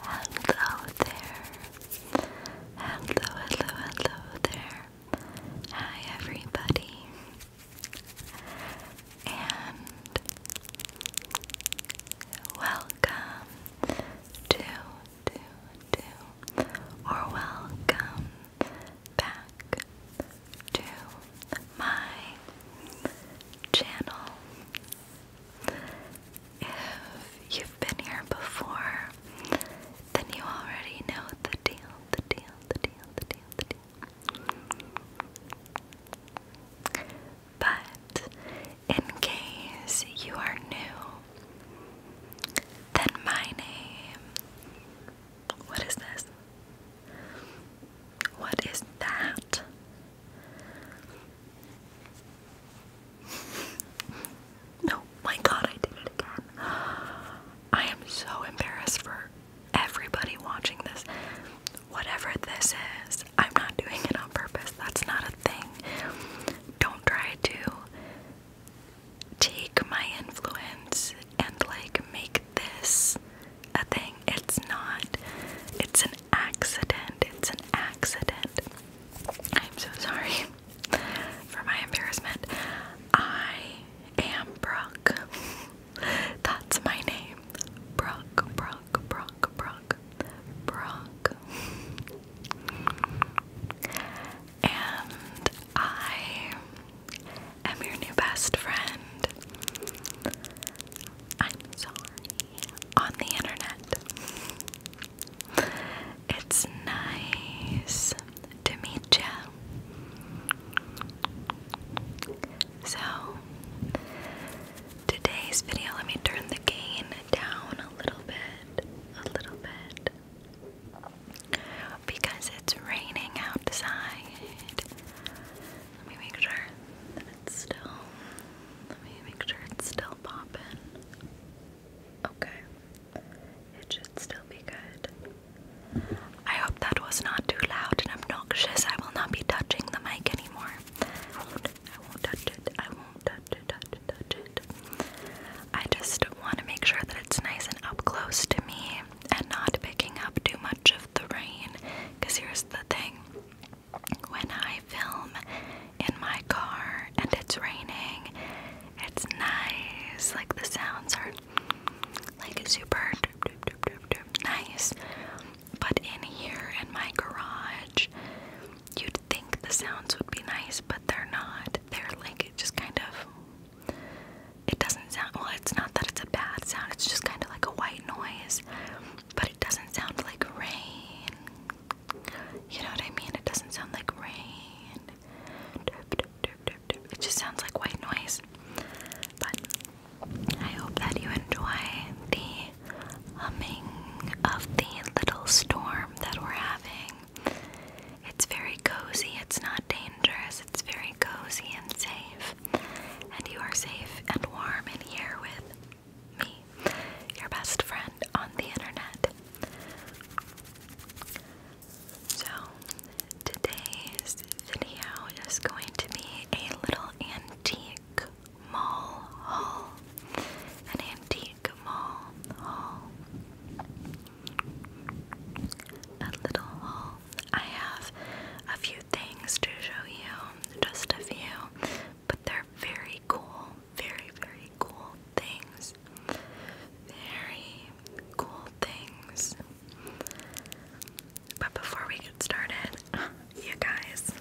Hello there. Hello, hello, hello there. Hi, everybody. And welcome to, to, to, or welcome back to my channel. If you've been here before, then you already know the deal, the deal, the deal, the deal, the deal. But in case you are new, then my name. What is this? What is that? no, oh my god, I did it again. I am so embarrassed for everybody watching this. Whatever this is, I'm not doing it on purpose. That's not a thing. Don't try to take my influence and like make this a thing. It's not. It's an accident. It's an accident. I'm so sorry for my embarrassment. I am Brooke. That's my name. Brooke, Brooke, Brooke, Brooke, Brooke. And I am your new best friend. I'm sorry. On the internet. It's nice to meet you. So, today's video, let me turn the gain down a little bit, a little bit. Because it's raining outside. Let me make sure it's still. Let me make sure it's still popping. Okay. It should still be good. I hope that was not too loud and obnoxious. I will not be touching the mic anymore. I won't, I won't touch it. I won't touch it, touch it, touch it. I just want to make sure that it's nice and up close to me and not picking up too much of the rain. Because here's the thing when I film in my car and it's raining, it's nice. Like the sounds are like super nice. But in here in my garage, you'd think the sounds would be nice, but they're not. They're like just kind of it doesn't sound well, it's not that it's a bad sound, it's just kind of like a white noise but it doesn't sound like rain. You know what I mean? It doesn't sound like rain. It just sounds like white noise. But I hope that you enjoy the humming of the little storm that we're having. It's very cozy, it's not dangerous, it's very very cozy and safe, and you are safe and warm in here with me, your best friend on the internet. So, today's video is going to be a little antique mall haul. An antique mall haul. A little haul. I have a few things to show you, just a few, but they're very cool, very, very cool things. Very cool things. But before we get started, you guys,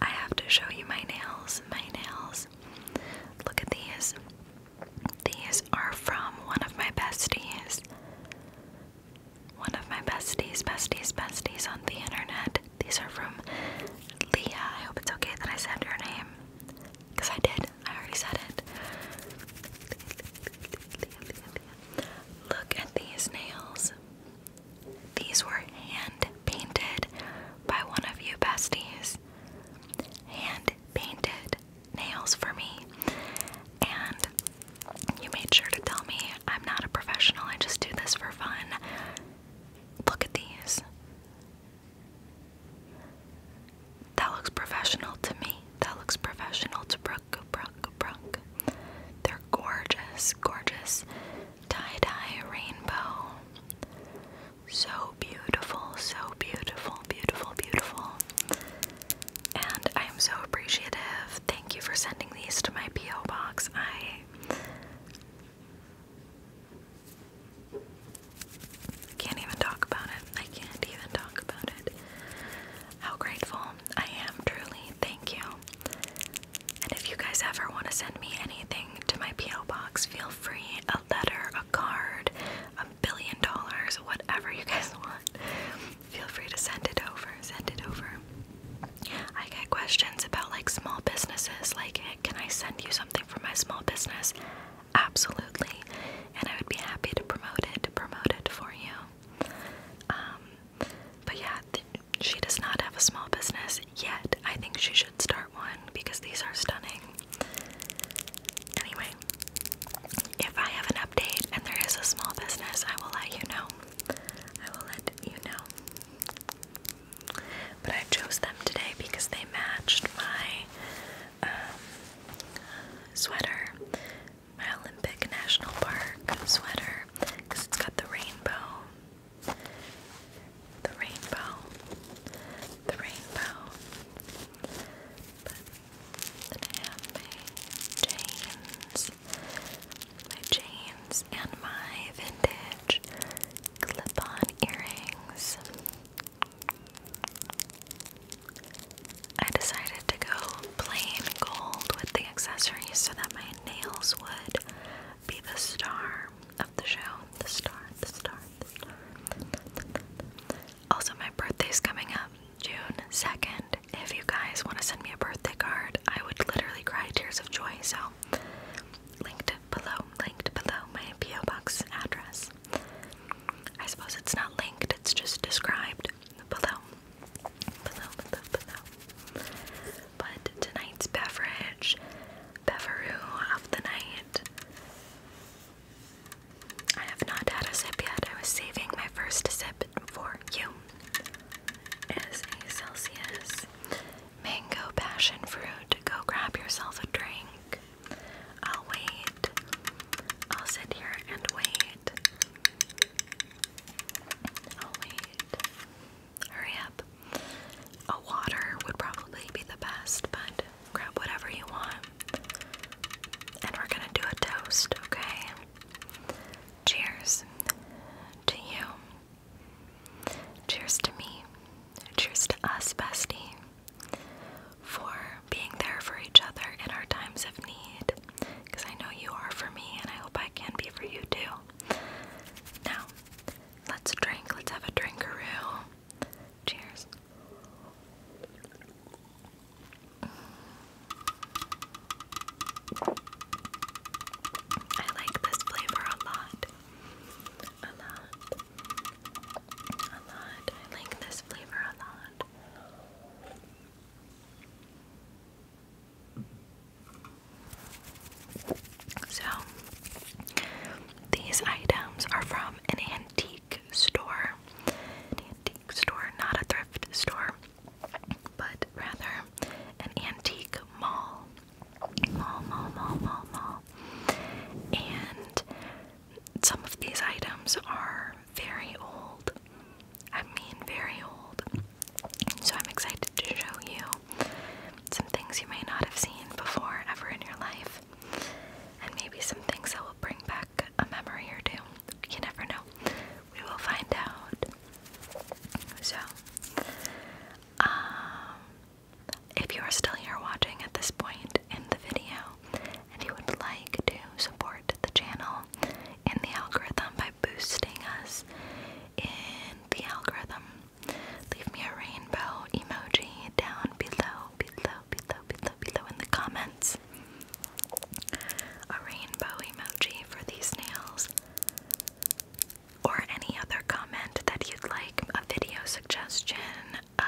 I have to show you my nails. My nails. Look at these. These are from one of my besties one of my besties, besties, besties on the internet. These are from Leah. I hope it's okay that I said her name. Because I did. I already said it. Look at these nails. These were hand painted by one of you besties. Hand painted nails for me. And you made sure to tell me I'm not a professional, I just do this for fun. Look at these. That looks professional to me. That looks professional to Brooke, Brooke, Brooke. They're gorgeous, gorgeous. Tie dye rainbow. So beautiful, so beautiful, beautiful, beautiful. And I am so appreciative. Thank you for sending these to my P.O. box. I can't even talk about it. I can't even talk about it. How grateful I am, truly. Thank you. And if you guys ever want to send me anything to my P.O. box, feel free a letter, a card, a billion dollars, whatever you guys want feel free to send it over. Send it over. I get questions about like small businesses, like, can I send you something for my small business? Absolutely. And I would be happy to promote it, promote it for you. Um, but yeah, she does not have a small business yet. I think she should start one because these are stunning. Anyway, if I have an update and there is a small business, I will let you know. I will let you know. But I chose them today because they matched my um, sweater, my Olympic National Park sweater, because it's got the rainbow. The rainbow. The rainbow that I have my chains, and my vintage clip-on earrings. I decided to go plain gold with the accessories so that my nails would be the star of the show. The star, the star, the star. Also, my birthday's coming up June 2nd, if you guys want to send me a birthday card, I would literally cry tears of joy. So, linked below, linked below my P.O. box address. I suppose it's not linked, it's just described below. Below, below, below. But tonight's beverage, beveroo of the night. I have not had a sip yet. I was saving my first sip for you is Celsius mango passion fruit. Go grab yourself a drink. I'll wait. I'll sit here and wait. I'll wait. Hurry up. A water would probably be the best, but grab whatever you want. And we're gonna do a toast, okay? Cheers to you. Cheers to me. Cheers to us, bestie, for being there for each other in our times of need. Because I know you are for me, and I hope I can be for you too. Now, let's drink. Let's have a drinkaroo. Cheers. I like this flavor a lot. A lot. A lot. I like this flavor a lot. So, these items are from an antique store. An antique store, not a thrift store but rather an antique mall. Mall, mall, mall, mall, mall. And some of these items are very old. I mean, very old. So I'm excited to show you some things you may not have seen before ever in your life, and maybe some things that will bring back a memory or two. You never know. We will find out. So, um, if you are still here watching at this point in the video and you would like to support the channel in the algorithm by boosting us in the algorithm, leave me a rainbow emoji down below, below, below, below, below in the comments. A rainbow emoji for these nails. Or any other comment that you'd like, a video suggestion. Uh,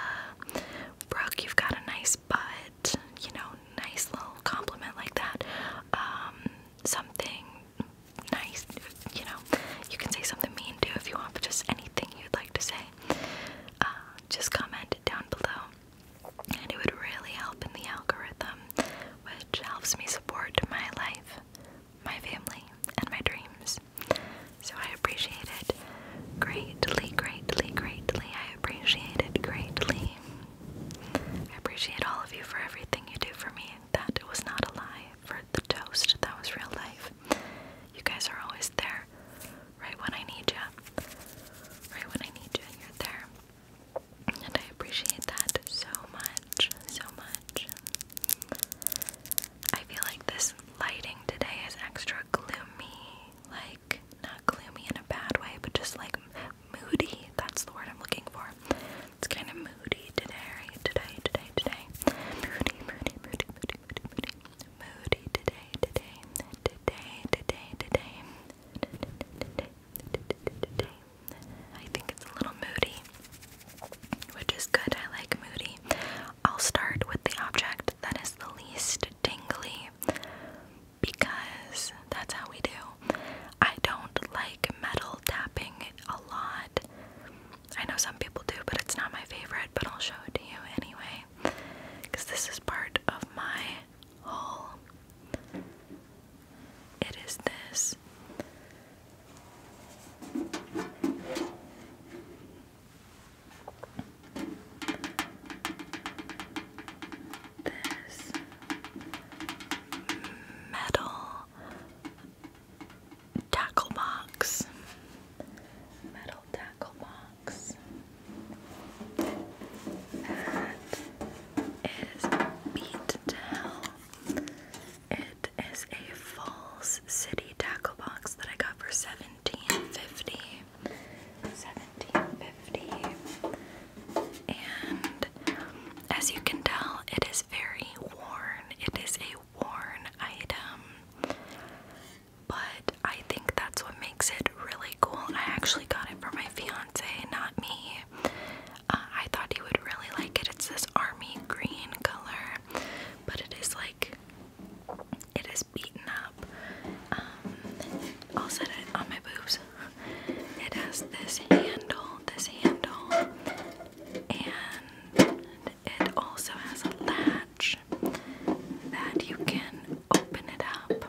Brooke, you've got a nice butt, you know, nice little compliment like that. Um, something nice, you know, you can say something mean too if you want, but just anything you'd like to say. Uh, just comment down below and it would really help in the algorithm, which helps me support my life, my family, and my dreams. So I appreciate it greatly, greatly, greatly. I appreciate it greatly. I appreciate all of you for everything you do for me. That was not a lie. For the toast, that was real life. You guys are always there, right when I need you. Right when I need you, and you're there. And I appreciate that so much, so much. I feel like this lighting today is extra gloomy. Like, not gloomy in a bad way, but just like moody. That's the word I'm looking for. It's kind of moody today, right? Today, today, today. Moody, moody, moody, moody, moody, moody. Moody today, today, today, today, today. I think it's a little moody, which is good. I like moody. I'll start with the object that is the least tingly because that's how we do. I don't like metal tapping a lot. I know some people do, but it's not my favorite, but I'll show it to you anyway because this is part of my haul. It is this. This metal tackle box, metal tackle box box. That is Beat It is a Falls City tackle box that I got for seventeen fifty. dollars And as you can tell, it is very worn. It is a worn item. But I think that's what makes it really cool. I actually got it for my fiance, not me. Uh, I thought he would really like it. It's this army green color, but it is like it is beaten up. Um, I'll set it on my boobs. It has this handle, this handle, and it also has a latch that you can open it up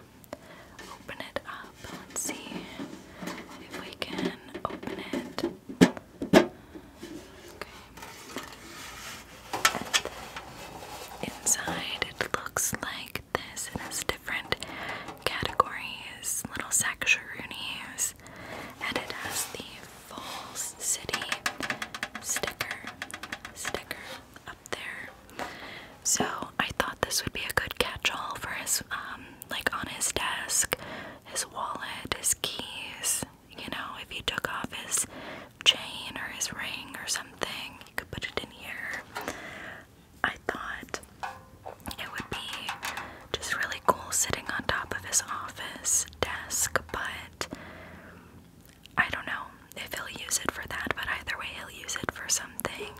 open it up. Let's see if we can open it. Okay. inside it looks like this. It different categories, little sectionaries, and it has the Falls City sticker, sticker, there. So I thought this would be a good catch-all for his, um, like on his desk, his wallet, his keys. You know, if he took off his chain or his ring or something, you could put it in here. I thought it would be just really cool sitting on top of his office desk, but I don't know if he'll use it for that, but either way, he'll use it for something.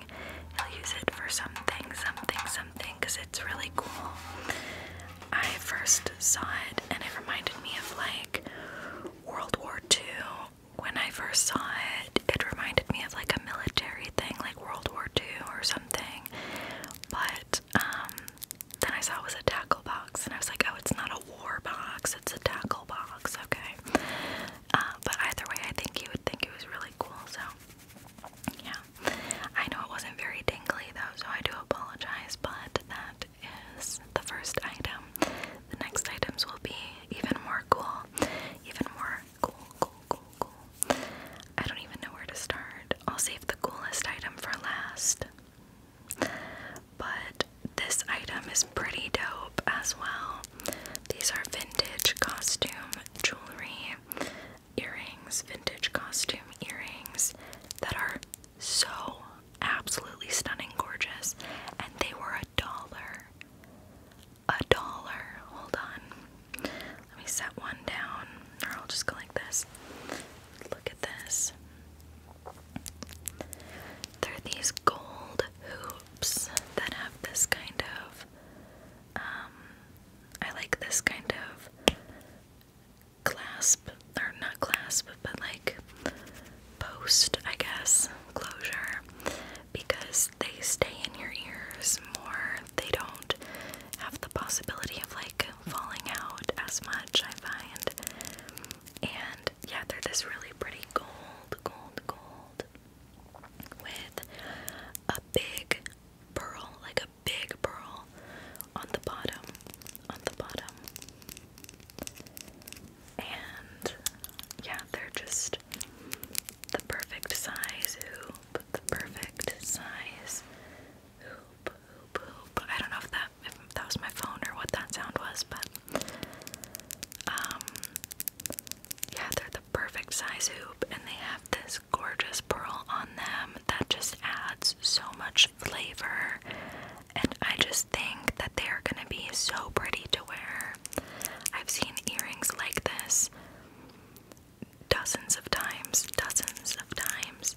He'll use it for something, something, something, because it's really cool. I first saw it and it reminded me of like World War II. When I first saw it, it reminded me of like a military thing, like World War II or something. But um, then I saw it was a tackle box, and I was like, oh, it's not a war box, it's a tackle box, okay. Uh, but either way, I think you would think it was really cool. So, yeah. I know it wasn't very dingly though, so I do apologize. But that is the first item. The next items will be even more cool. Even more cool, cool, cool, cool. I don't even know where to start. I'll save the coolest item for last. But this item is pretty dope as well. These are vintage costume jewelry, earrings, vintage costume earrings that are so absolutely stunning, gorgeous, and they were a dollar. A dollar. Hold on. Let me set one down, or I'll just go like this. Look at this. They're these gold hoop that have this kind of um, I like this kind of clasp or not clasp but like post I guess closure because they stay in your ears more they don't have the possibility of like falling out as much I find and yeah they're this really pretty gold gold gold with a big pearl, like a big pearl on the bottom, on the bottom. And yeah, they're just the perfect size hoop, the perfect size hoop, I don't know if that that was my phone or what that sound was, but um, yeah, they're the perfect size hoop, and they have this gorgeous pearl on them that just adds so much flavor. And I just think that they are gonna be so pretty to wear. I've seen earrings like this dozens of times, dozens of times.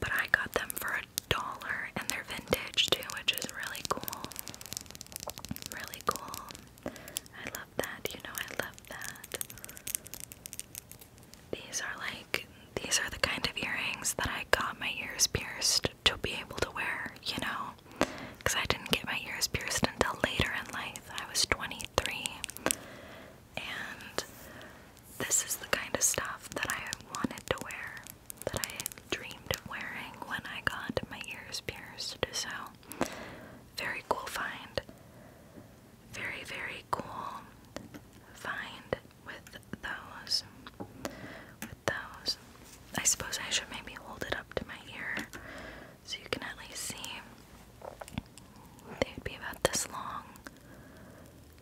But I got them for a dollar and they're vintage too, which is really cool. Really cool. I love that. You know, I love that. These are like, these are the kind of earrings that I got my ears pierced to be able to wear, you know? Because I didn't get my ears pierced until later in life. I was 23. And this is the kind of stuff that I wanted to wear that I had dreamed of wearing when I got my ears pierced. So, very cool find. Very, very cool find with those. With those. I suppose I should maybe hold it up to my ear so you can at least see. They'd be about this long.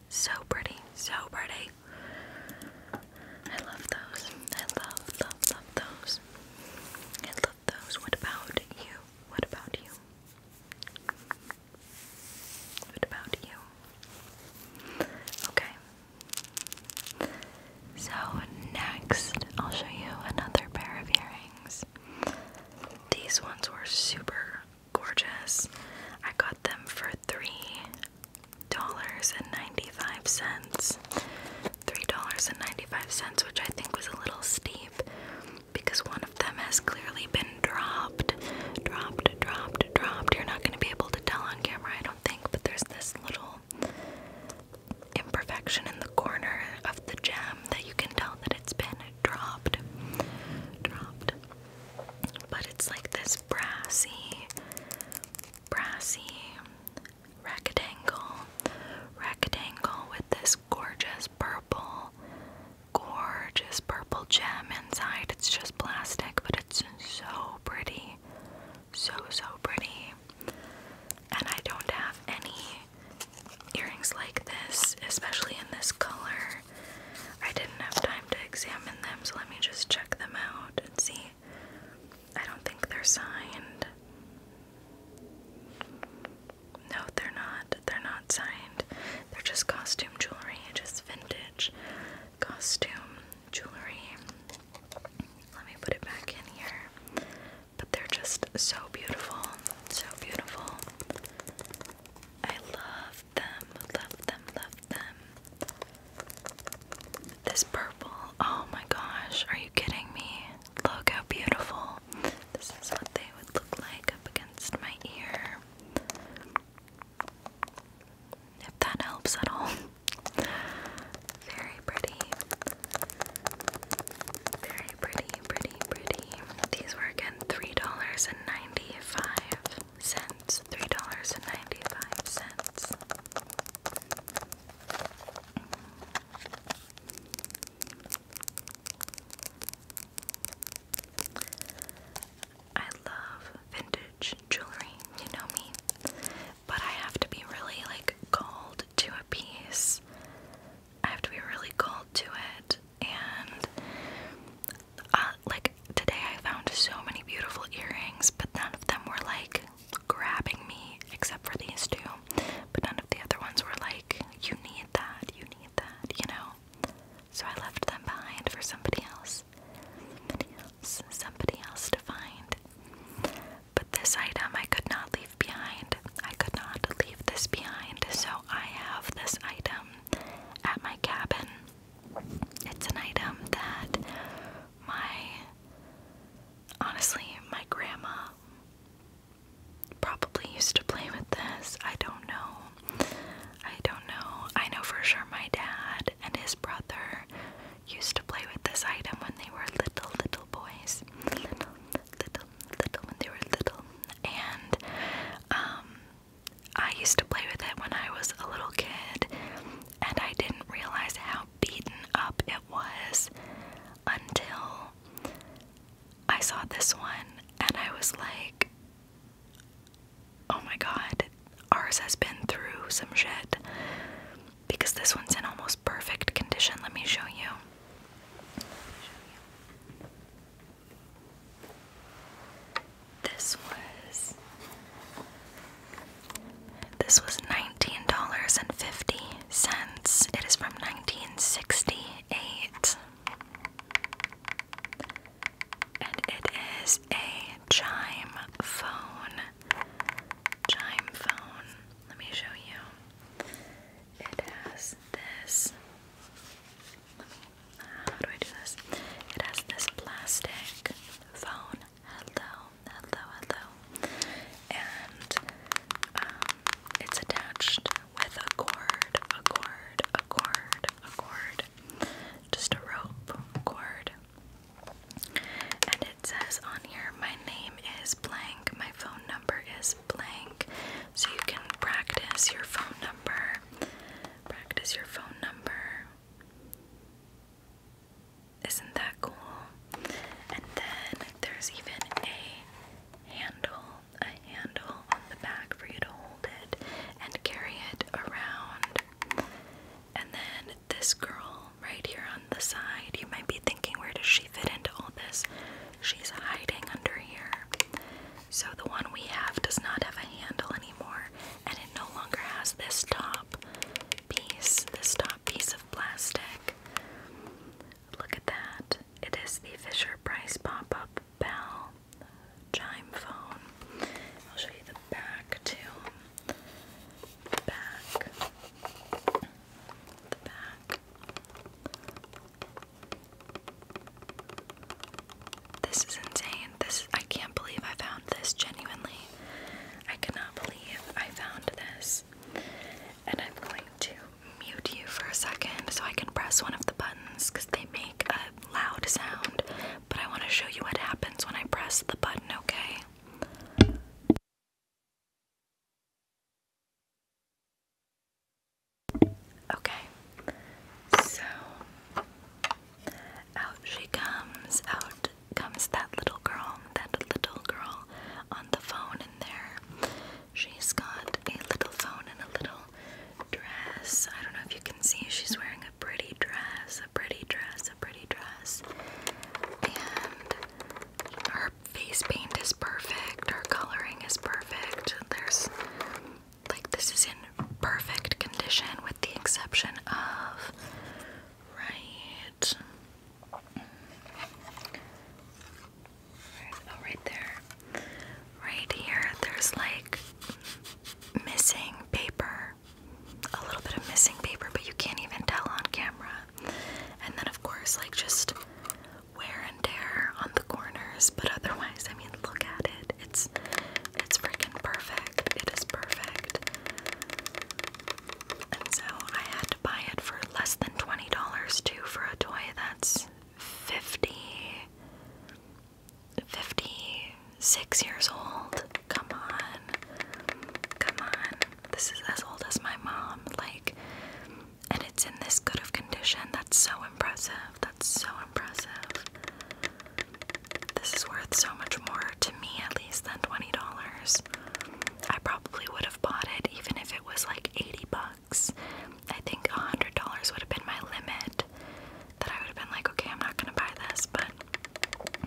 So pretty, so pretty. I love those. I love, love, love those. I love those. What about you? What about you? What about you? Okay. So, next, I'll show you another pair of earrings. These ones were super gorgeous. I got them for three dollars and ninety-five cents. Three dollars and ninety-five cents, which I think was a little steep because one of them has clearly been dropped. Dropped, dropped, dropped. You're not gonna be able to tell on camera, I don't think, but there's this little imperfection in the corner of the gem that you can tell that it's been dropped. Dropped. But it's like this brassy brassy rectangle, rectangle with this gorgeous purple, gorgeous purple gem inside. It's just plastic, but it's so pretty. So, so pretty. And I don't have any earrings like this, especially in this color. I didn't have time to examine them, so let me just check them out and see. I don't think they're signed. No, they're not. They're not signed. They're just costume jewelry, just vintage costume jewelry. Let me put it back in here. But they're just so beautiful. So beautiful. I love them. Love them. Love them. This purple. Oh my gosh, are you kidding me? Look how beautiful. This is what they would look like up against my ear. If that helps at all. Very pretty. Very pretty, pretty, pretty. These were again $3.95 cents, three dollars and ninety-five cents. I love vintage jewelry, you know me, but I have to be really like called to a piece. I have to be really called to it, and uh, like today I found so many beautiful earrings, but none of them were like grabbing me except for these two. But none of the other ones were like, you need that, you need that, you know? So I left them behind for somebody else. Somebody else, somebody else to find. But this item I could not leave behind. I could not leave this behind, so I have this item at my cabin. It's an item that my honestly, my grandma probably used to play with this. I don't know. I don't know. I know for sure my dad and his brother used to play with this item when they were little, little boys. Little, little, little, when they were little. And, um, I used to play with it when I was a little kid and I didn't realize how beaten up it was until I saw this one, and I was like, oh my god, ours has been through some shit. Because this one's in almost perfect condition. Let me show you. This was this was nineteen dollars and fifty cents. It is from nineteen sixty-eight. And it is a chime phone. Chime phone. Let me show you. It has this. how do I do this? It has this plastic phone Hello, hello, hello. And um, it's attached with a cord, a cord, a cord, a cord. Just a rope cord. And it says on here, my name is blank, my phone number is blank. So you can practice your phone number. Practice your phone number. Isn't that cool? And then there's even a handle, a handle on the back for you to hold it and carry it around. And then this girl right here on the side, you might be thinking, where does she fit into all this? She's hiding under here. So the one we have does not have a handle anymore and it no longer has this top piece, this top piece of plastic. Look at that. It is the Fisher Price pop up bell chime phone. I'll show you the back too. The back. The back. This is insane. This I can't believe I found this genuinely. I cannot believe I found this. And I'm going to mute you for a second so I can press one of the buttons because they make a loud sound. But I want to show you what happens when I press the button, okay? Okay, so out she comes, out comes that little girl, that little girl on the phone in there. She's got a little phone and a little dress. I don't know if you can see, she's wearing a pretty dress, a pretty dress, a pretty dress. And her face paint is perfect, her coloring is perfect. There's like this is in perfect condition the exception of right. Oh, right there. Right here, there's like missing paper. A little bit of missing paper, but you can't even tell on camera. And then, of course, like just wear and tear on the corners, but otherwise, I mean, look at it. It's it's freaking perfect. It is perfect. And so I had to buy it for less than twenty dollars too for a toy that's 50 56 years old. Come on. Come on. This is as old as my mom. Like and it's in this good of condition. That's so impressive. That's so impressive. This is worth so much more to me, at least, than $20. I probably would have bought it even if it was like 80 bucks. I think $100 would have been my limit. That I would have been like, okay, I'm not gonna buy this, but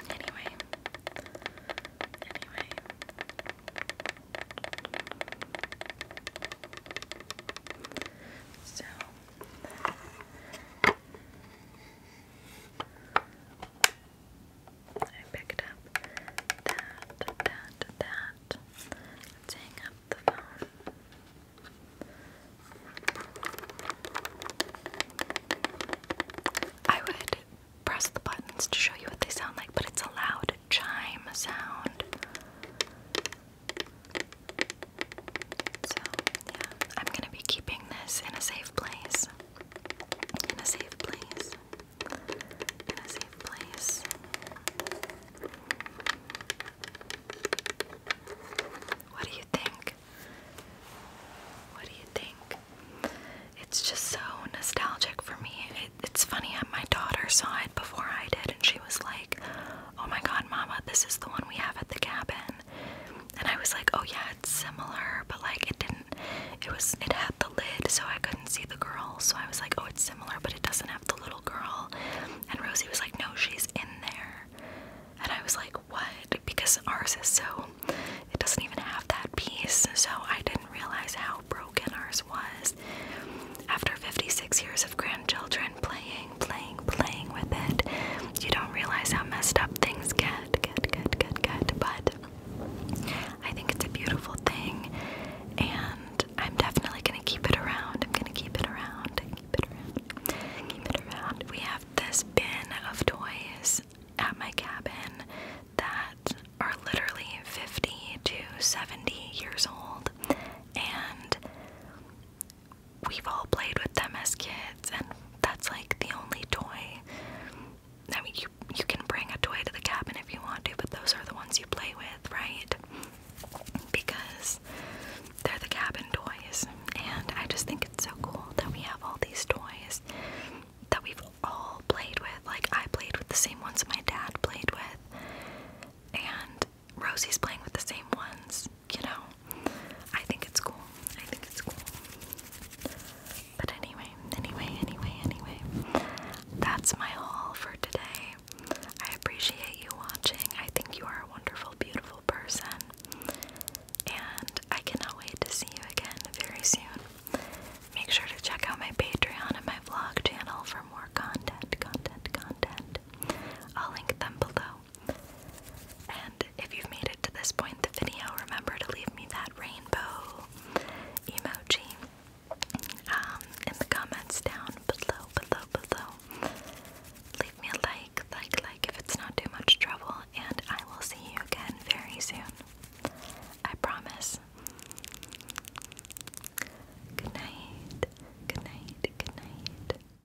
anyway. Anyway. So. I picked up that, that, that. hang up the phone. I would press the buttons to show you what they sound like, but it's a loud chime sound. So, yeah, I'm gonna be keeping this in a safe place. In a safe place. In a safe place. What do you think? What do you think? It's just so nostalgic for me. it's funny, how my daughter saw it before I did, and she was like, Oh my god, mama, this is the one we have at the cabin and I was like, oh yeah, it's similar, but like it didn't. It was it had the lid, so I couldn't see the girl. So I was like, oh, it's similar, but it doesn't have the little girl. And Rosie was like, no, she's in there. And I was like, what? Because ours is so it doesn't even have that piece. So I didn't realize how broken ours was. After 56 years of grandchildren playing playing, playing, with it, you don't realize how messed up things get, get, get, get, get. But I think it's a beautiful thing, and I'm definitely gonna keep it around. I'm gonna keep it around, keep it around, keep it around. We have this bin of toys at my cabin that are literally 50 to 70 years old, and we've all played with them as kids, and that's like the only toy. I mean, you you can bring a toy to the cabin if you want to, but those are the ones you play with, right? Because they're the cabin toys, and I just think it's so cool that we have all these toys that we've all played with. Like I played with the same ones my dad played with, and Rosie's playing with the same ones you know, I think it's cool. I think it's cool. But anyway, anyway, anyway, anyway, that's my haul for today. I appreciate you watching. I think you are a wonderful, beautiful person. And I cannot wait to see you again very soon. Make sure to check out my Patreon and my vlog channel for more content, content, content. I'll link them below. And if you've made it to this point in the video, remember to leave me that rainbow emoji um, in the comments down below, below, below. Leave me a like, like, like if it's not too much trouble, and I will see you again very soon. I promise. Good night, good night, good night.